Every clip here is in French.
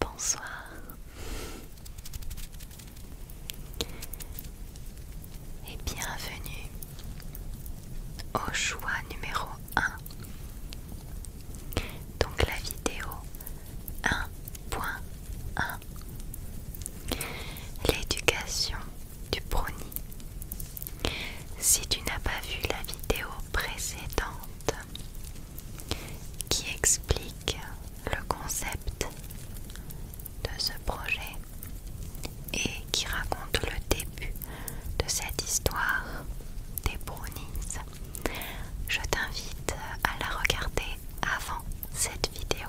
Bonsoir et bienvenue au choix numéro 1. Donc la vidéo 1.1 L'éducation du brownie. Si tu n'as pas vu la vidéo précédente qui explique le concept de ce projet et qui raconte le début de cette histoire des brownies. Je t'invite à la regarder avant cette vidéo.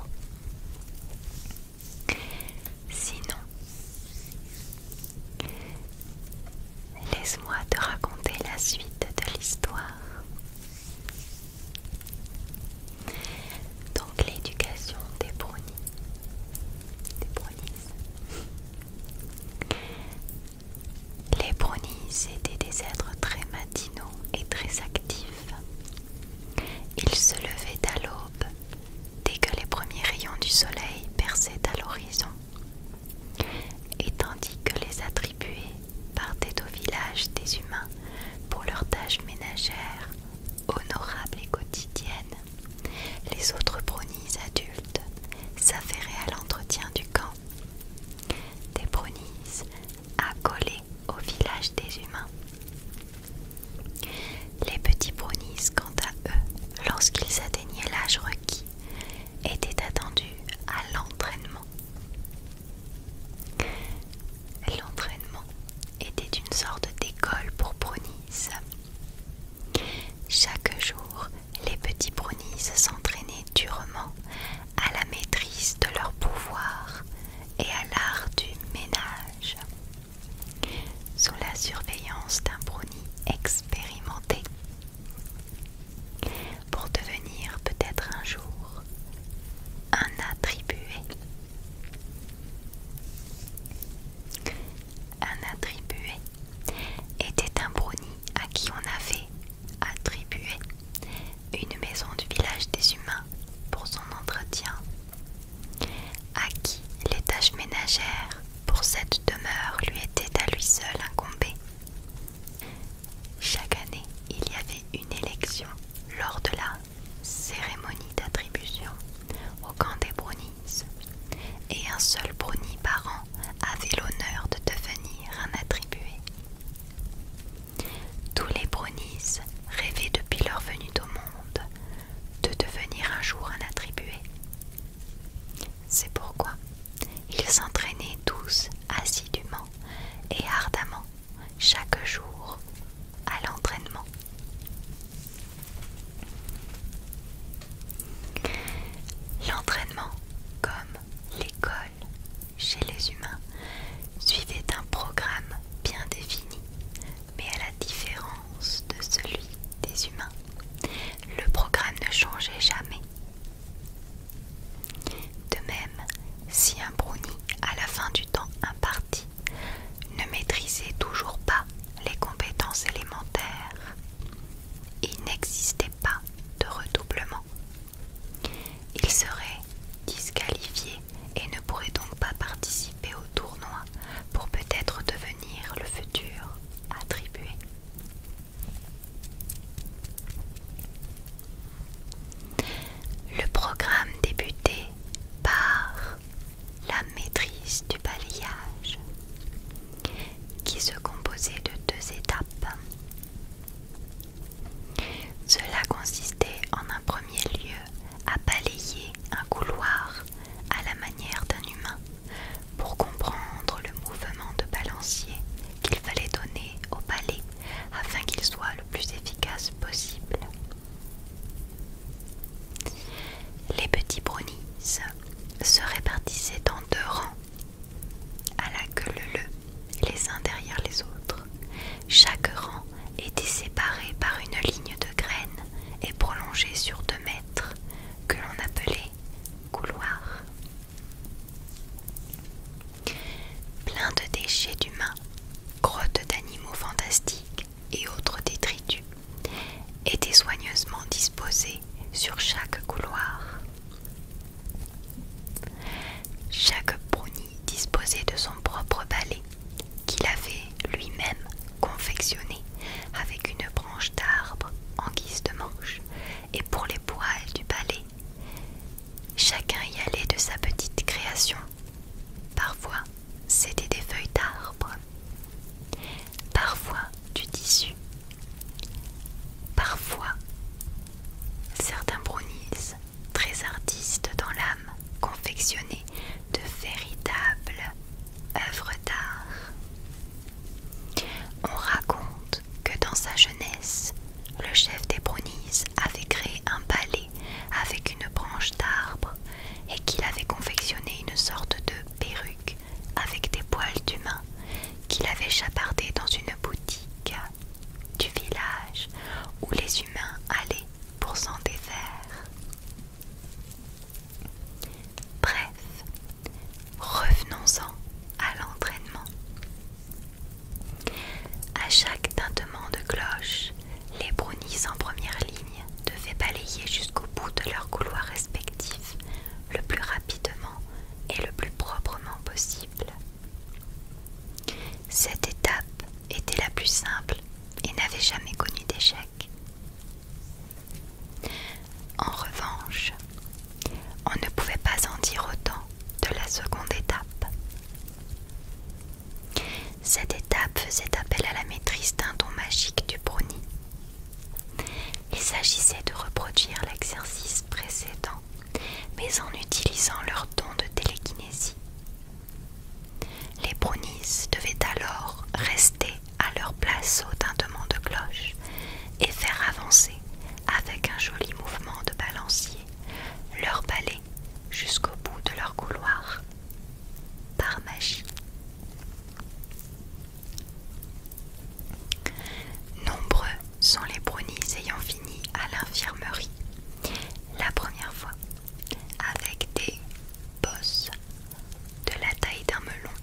Sinon, Laisse-moi te raconter la suite de l'histoire. Donc l'éducation des brownies. Les brownies étaient des êtres très matinaux et très actifs. Ils se levaient à l'aube dès que les premiers rayons du soleil perçaient à l'horizon. Et tandis que les attribués partaient au village des humains pour leurs tâches ménagères, honorables et quotidiennes, les autres bronies adultes s'affairaient à l'entretien du camp. Des bronies accolées au village des humains. Les petits brownies, quant à eux, lorsqu'ils atteignaient l'âge requis, étaient attendus à l'entraînement. L'entraînement était une sorte d'école pour brownies. Chaque jour, les petits brownies s'entraînaient durement à la maîtrise de leur pouvoir et à l'art du ménage sous la surveillance d'un brownie expérimenté pour devenir peut-être un jour un attribué. Un attribué était un brownie à qui on avait attribué une maison du village des humains pour son entretien, à qui les tâches ménagères pour cette demeure lui était à lui seul incombé. Chaque année, il y avait une élection lors de la cérémonie d'attribution au camp des Brownies, et un seul Brownie par an avait l'honneur de devenir un attribué. Tous les Brownies rêvaient depuis leur venue au monde de devenir un jour un attribué, c'est pourquoi ils s'entraînaient tous assidûment et ardemment chaque jour à l'entraînement. L'entraînement, comme l'école chez les humains, suivait un programme bien défini mais à la différence de celui des humains, le programme ne changeait jamais. De même, si un brownie à la fin du temps imparti ne maîtrisait toujours pas les compétences élémentaires, il n'existait pas de redoublement. Il serait disqualifié et ne pourrait donc pas participer au tournoi pour peut-être devenir le futur attribué. Le programme débutait par la maîtrise du balayage qui se composait de deux étapes. Cela consistait en un premier lieu à balayer un couloir à la manière d'un humain pour comprendre le mouvement de balancier qu'il fallait donner au palais afin qu'il soit le plus efficace possible. Les petits brownies se répartissaient en deux rangs, à la queue leu les uns derrière les autres. Chaque rang était séparé par une ligne de graines et prolongé sur deux mètres que l'on appelait couloir. Plein de déchets d'humains, grottes d'animaux fantastiques et autres détritus étaient soigneusement disposés sur chaque couloir. Chaque bruni disposait de son propre balai qu'il avait lui-même confectionné avec une branche d'arbre en guise de manche, et pour les poils du palais, chacun y allait de sa petite création. Parfois, c'était des feuilles d'arbre, parfois du tissu, parfois certains brownies très artistes dans l'âme confectionnés de véritables œuvres d'art. On raconte que dans sa jeunesse, le chef des Bronises avait créé un palais avec une branche d'arbre et qu'il avait confectionné une sorte de perruque avec des poils d'humains qu'il avait chapardé dans une boutique du village où les humains allaient pour s'en défaire. Bref, revenons-en à l'entraînement. À chaque tintement de cloche, les brownies en première ligne devaient balayer jusqu'au bout de leur couloir respectif le plus rapidement et le plus proprement possible. Cette étape était la plus simple et n'avait jamais connu d'échec. En revanche, on ne pouvait pas en dire autant de la seconde étape. Cette étape faisait appel à la maîtrise d'un don magique du brownie. Il s'agissait de reproduire l'exercice précédent, mais en utilisant leur don de télékinésie. Les brownies devaient alors rester à leur place au tintement de cloche et faire avancer, avec un joli mouvement de balancier, leur balai jusqu'au bout de leur couloir. Par magie. Nombreux sont les brownies ayant fini à l'infirmerie la première fois, avec des bosses de la taille d'un melon,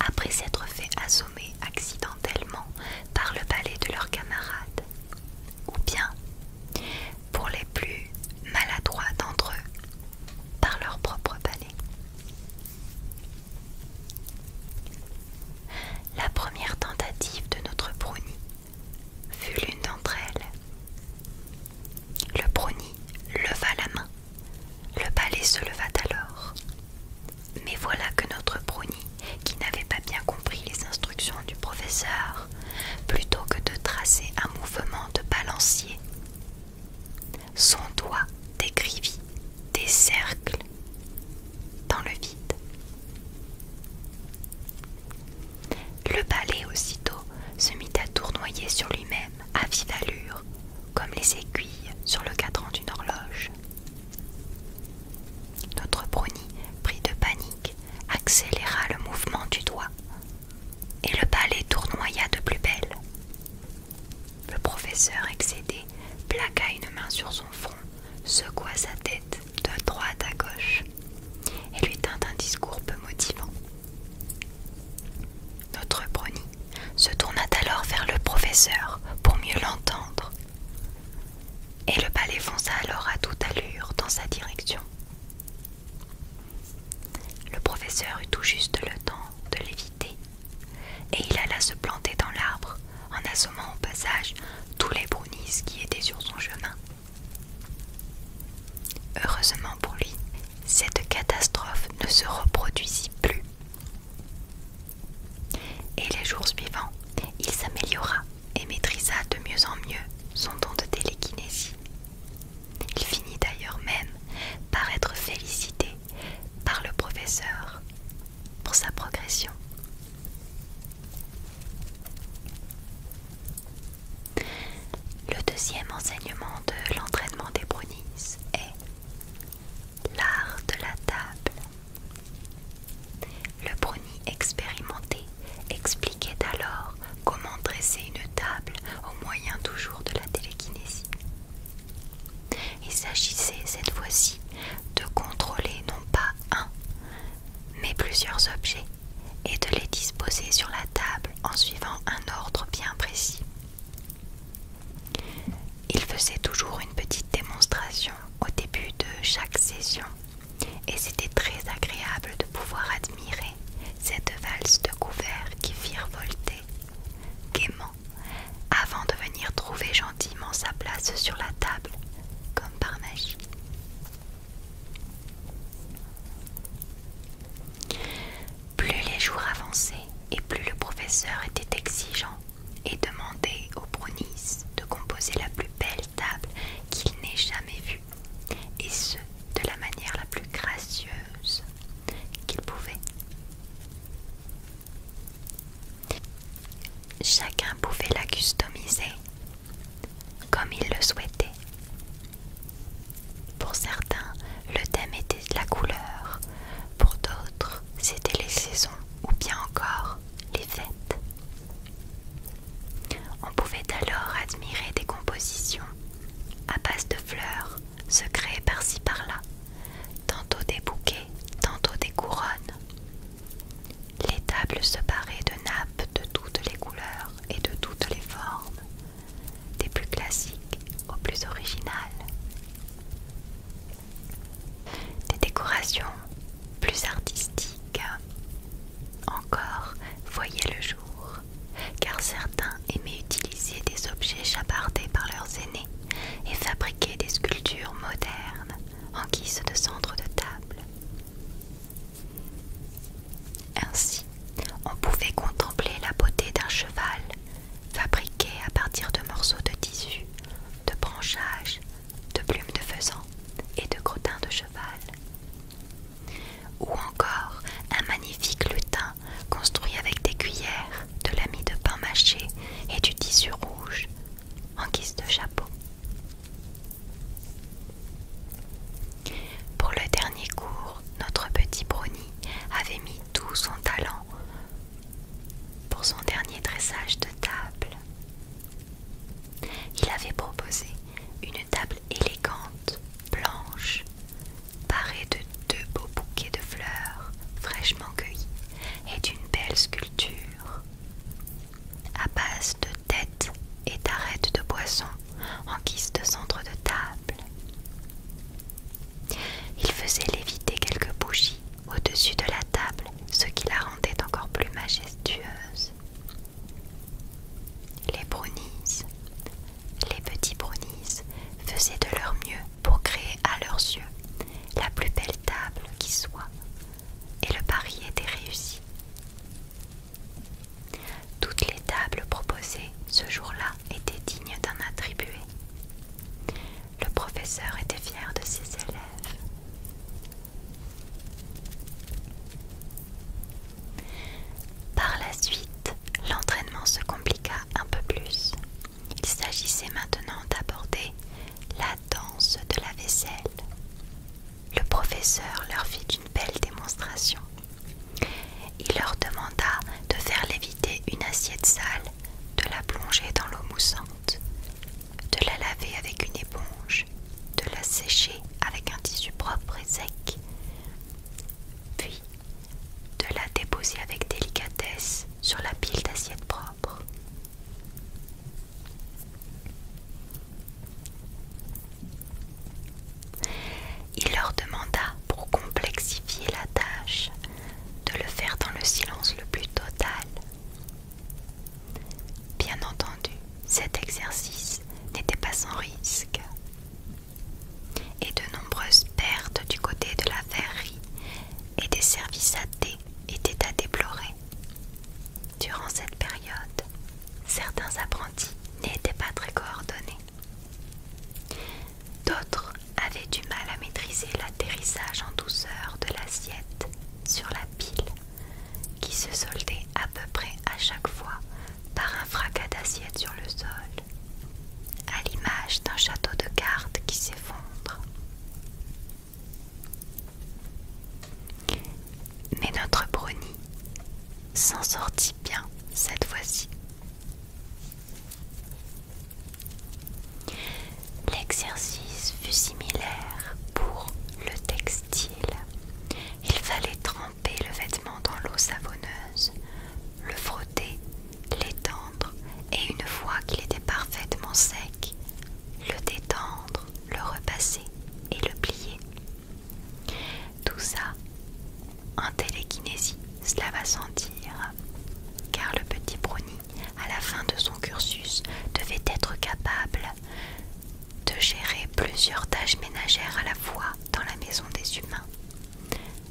après s'être fait assommer accidentellement par le palais de leurs camarades. Ou bien, pour les plus maladroits d'entre eux, par leur propre palais La première tentative de notre brunie fut l'une d'entre elles. Le brownie leva la main. Le palais se leva alors. Mais voilà que notre brownie, qui n'avait pas bien compris les instructions du professeur, plutôt que de tracer un mouvement de balancier, son doigt décrivit des cercles dans le vide. Le balai aussitôt se mit à tournoyer sur lui-même à vive allure, comme les aiguilles sur le cadran d'une horloge. Notre Bruni, pris de panique, accéléra le mouvement du doigt, et le balai tournoya de plus belle. Le professeur excédé plaqua une main sur son front, secoua sa tête de droite à gauche et lui tint un discours peu motivant. Notre brownie se tourna alors vers le professeur pour mieux l'entendre, et le palais fonça alors à toute allure dans sa direction. Le professeur eut tout juste le temps de l'éviter, et il alla se planter dans l'arbre en assommant au passage tous les brownies qui étaient sur son chemin. Heureusement pour lui, cette catastrophe ne se reproduisit plus. Et les jours suivants, il s'améliora et maîtrisa de mieux en mieux son don de télékinésie. Il finit d'ailleurs même par être félicité par le professeur pour sa progression. Le deuxième enseignement de l'entraînement des brunis est l'art de la table. Le brownie expérimenté expliquait alors comment dresser une table au moyen toujours de la télékinésie. Il s'agissait cette fois-ci de contrôler non pas un, mais plusieurs objets et de les disposer sur la table en suivant un ordre bien précis. Il faisait toujours une petite démonstration au début de chaque session et c'était très agréable de pouvoir admirer cette valse de couverts qui volter, gaiement avant de venir trouver gentiment sa place sur la table comme par magie. Plus les jours avançaient et plus le professeur était exigeant et demandait au Brunis de composer la plus belle table qu'il n'ait jamais vue, et ce, de la manière la plus gracieuse qu'il pouvait. Chacun pouvait la customiser comme ils le souhaitaient. Pour certains, le thème était la couleur, pour d'autres, c'était les saisons ou bien encore les fêtes. On pouvait alors admirer des compositions à base de fleurs, se créées par-ci par-là, tantôt des bouquets, tantôt des couronnes. Les tables se paraient de nappes de toutes les couleurs et de toutes les formes, des plus classiques aux plus originales. Des décorations plus artistiques encore voyaient le jour, car certains aimaient utiliser des objets chapardés par leurs aînés et fabriquer des sculptures modernes en guise de centre de table. Ainsi, on pouvait contempler la beauté d'un cheval fabriqué à partir de morceaux de tissu, de branchages, de plumes de faisan et de crottins de cheval. Ou encore un magnifique lutin construit avec des cuillères, de lamis de pain mâché et du tissu rouge en guise de chapeau. Pour le dernier cours, notre petit brownie avait mis tout son talent pour son dernier dressage de table. Il avait proposé une table élégante, blanche, parée de deux beaux bouquets de fleurs fraîchement cueillies et d'une belle sculpture à base de têtes et d'arêtes de poisson en guise de centre de table. Il faisait léviter quelques bougies au-dessus de la table, ce qui la rendait encore plus majestueuse. Les brownies, les petits brownies faisaient de leur mieux pour créer à leurs yeux la plus belle table qui soit, et le pari était réussi. Toutes les tables proposées ce jour-là étaient dignes d'un attribué. Le professeur était fier de ses élèves. Par la suite, l'entraînement se compliqua un peu plus. Il s'agissait maintenant d'aborder la danse de la vaisselle le professeur leur fit une belle démonstration. Il leur demanda de faire léviter une assiette sale, de la plonger dans l'eau moussante, de la laver avec une éponge, de la sécher avec un tissu propre et sec, puis de la déposer avec délicatesse sur la pile d'assiettes propres. Il leur demanda, pour complexifier la tâche, de le faire dans le silence le plus total. Bien entendu, cet exercice n'était pas sans risque. Et de nombreuses pertes du côté de la verrerie et des services à thé étaient à déplorer durant cette période. Certains apprentis n'étaient pas très coordonnés. D'autres avaient du mal à maîtriser l'atterrissage en douceur de l'assiette sur la pile, qui se soldait à peu près à chaque fois par un fracas d'assiette sur le sol, à l'image d'un château de cartes qui s'effondre. Mais notre brownie s'en sortit bien cette fois-ci. L'exercice fut similaire pour le textile. Il fallait tremper le vêtement dans l'eau savonneuse, le frotter, l'étendre et une fois qu'il était parfaitement sec, le détendre le repasser et le plier. Tout ça en télékinésie, cela va sentir, car le petit brownie, à la fin de son cursus, devait être capable de gérer plusieurs tâches ménagères à la fois dans la maison des humains.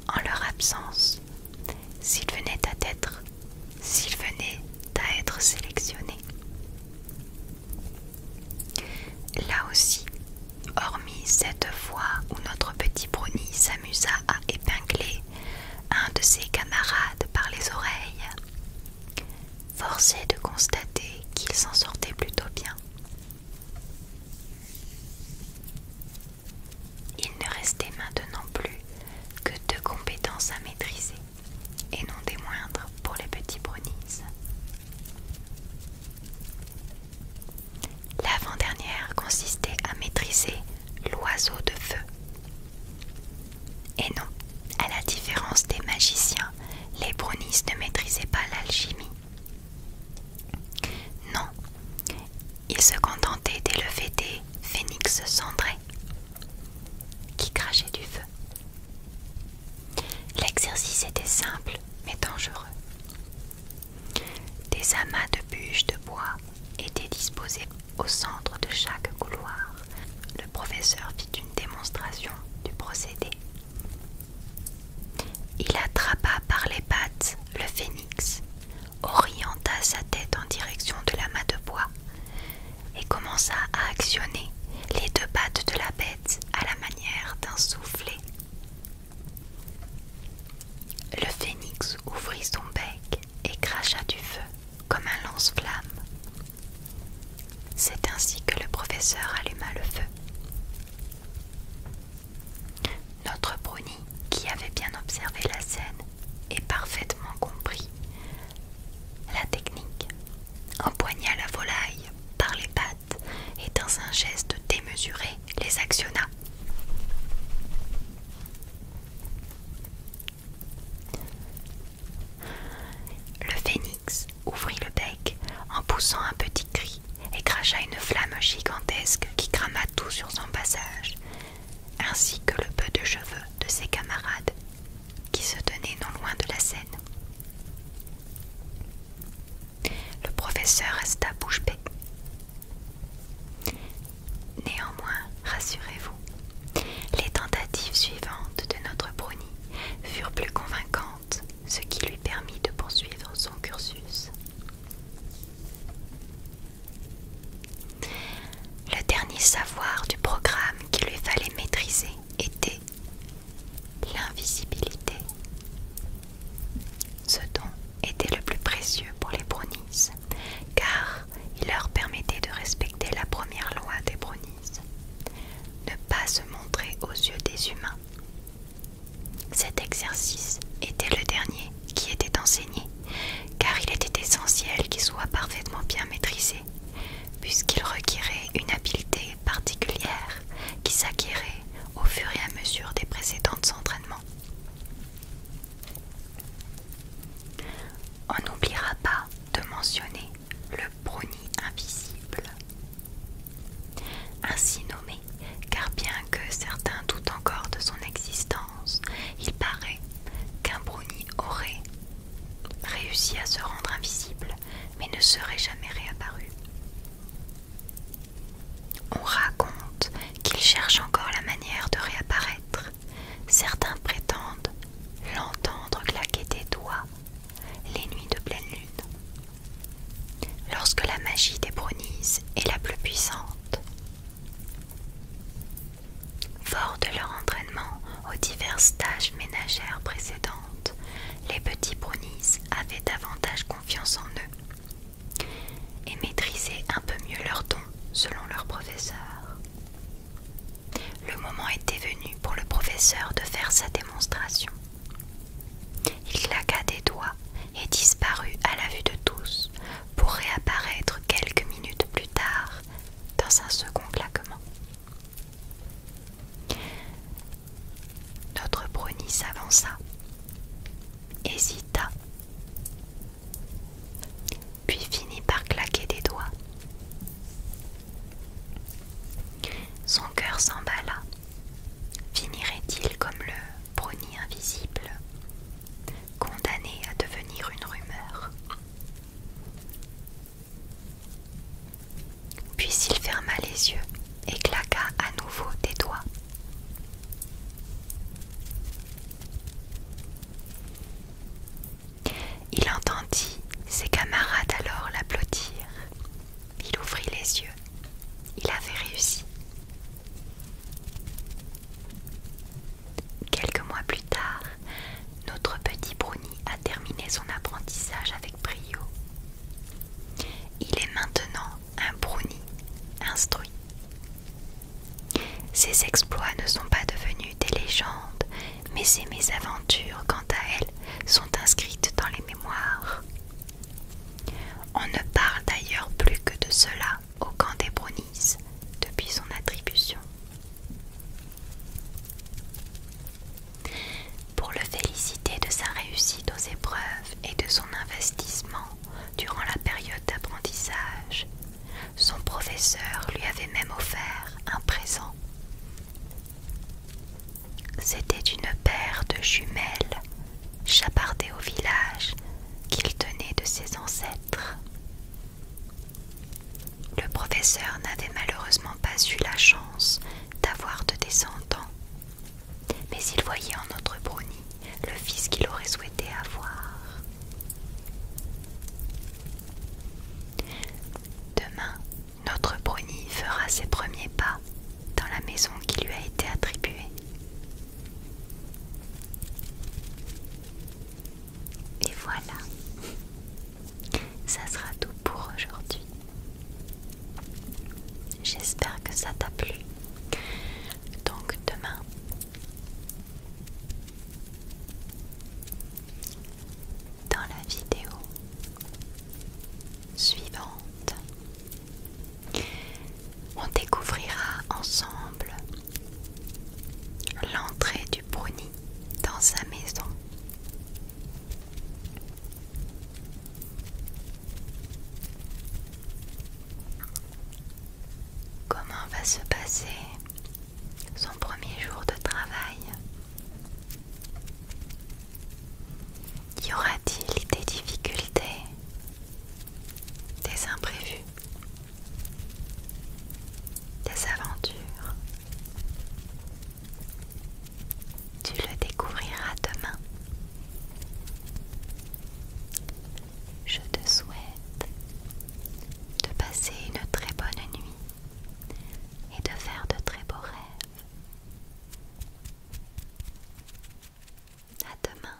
En leur absence, s'il venait à être s'il venait à être sélectionné. Là aussi, hormis cette fois où notre petit Bruni s'amusa à épingler un de ses camarades par les oreilles, forcé de constater qu'il s'en sortait plutôt bien. Il ne restait maintenant plus que deux compétences à maîtriser et non des moindres pour les petits brownies. L'avant-dernière consistait à maîtriser l'oiseau de feu. Et non, à la différence des magiciens, les brownies ne maîtrisaient pas l'alchimie. Non, ils se contentaient d'élever des phénix cendrés qui crachait du feu. L'exercice était simple mais dangereux. Des amas de bûches de bois étaient disposés au centre de chaque couloir. Le professeur fit une démonstration du procédé. Il attrapa par les pattes le phénix, orienta sa tête en direction de l'amas de bois, et commença à actionner les deux pattes de la bête à la manière d'un soufflet. Le phénix ouvrit son bec et cracha du feu comme un lance-flamme. C'est ainsi que le professeur alluma le feu. Notre brownie, qui avait bien observé la scène et parfaitement compris la technique empoigna la volaille par les pattes et dans un geste démesuré les actionna. Le phénix ouvrit le bec en poussant un petit cri et cracha une flamme gigantesque qui crama tout sur son passage, ainsi que le peu de cheveux de ses camarades qui se tenait non loin de la scène. Le professeur resta bouche bée. Néanmoins, rassurez-vous, les tentatives suivantes de notre brownie furent plus convaincantes, ce qui lui permit de poursuivre son cursus. Le dernier savoir du programme qu'il lui fallait maîtriser était l'invisibilité. Ce don était le plus précieux pour les brownies, car il leur permettait de respecter la première loi des brownies, ne pas se montrer aux yeux des humains. Cet exercice était le dernier qui était enseigné, car il était essentiel qu'il soit parfaitement bien maîtrisé puisqu'il requirait une habileté particulière qui s'acquérait au fur et à mesure des précédents entraînements. On n'oubliera pas de mentionner le brownie invisible, ainsi nommé, car bien que certains doutent encore de son existence, il paraît qu'un brownie aurait réussi à se rendre invisible, mais ne serait jamais réapparu. On raconte qu'il cherche encore la manière de réapparaître. Certains prétendent l'entendre claquer des doigts les nuits de pleine lune. Lorsque la magie des brownies est la plus puissante, Fort de leur entraînement aux diverses tâches ménagères précédentes, les petits brownies avaient davantage confiance en eux et maîtrisaient un peu mieux leur dons selon leur professeur. Le moment était venu pour le professeur de faire sa démonstration. Il claqua des doigts et disparut à la vue de tous pour réapparaître quelques minutes plus tard dans un second claquement. Notre brownie s'avança, hésita, puis finit par claquer des doigts. Son cœur s'emballa. Finirait-il comme le brownie invisible, condamné à devenir une rumeur puis il ferma les yeux et claqua à nouveau des doigts. Il entendit ses camarades alors l'applaudir. Il ouvrit les yeux. Il avait réussi. Quelques mois plus tard, notre petit Bruni a terminé son apprentissage avec brio. Il est maintenant un Bruni instruit. Ses exploits ne sont pas devenus des légendes, mais ses mésaventures, quant à elles, sont inscrites dans les mémoires. On ne parle d'ailleurs plus que de cela au camp des Brunis depuis son attribution. Pour le féliciter de sa réussite aux épreuves et de son investissement durant la période d'apprentissage, son professeur lui avait même offert un présent. C'était une paire de jumelles chapardées au village qu'il tenait de ses ancêtres. Le professeur n'avait malheureusement pas eu la chance d'avoir de descendants, mais il voyait en notre brownie le fils qu'il aurait souhaité avoir. Demain, notre brownie fera ses premiers pas dans la maison qui lui a été attribuée. Et voilà, ça sera tout pour aujourd'hui. J'espère que ça t'a plu. Donc demain, dans la vidéo suivante, on découvrira ensemble l'entrée du bruni dans sa maison. Comment va se passer son premier jour de travail Y aura-t-il des difficultés, des imprévus des aventures. Tu le découvriras demain. Je te souhaite de passer une très bonne nuit et de faire de très beaux rêves. À demain.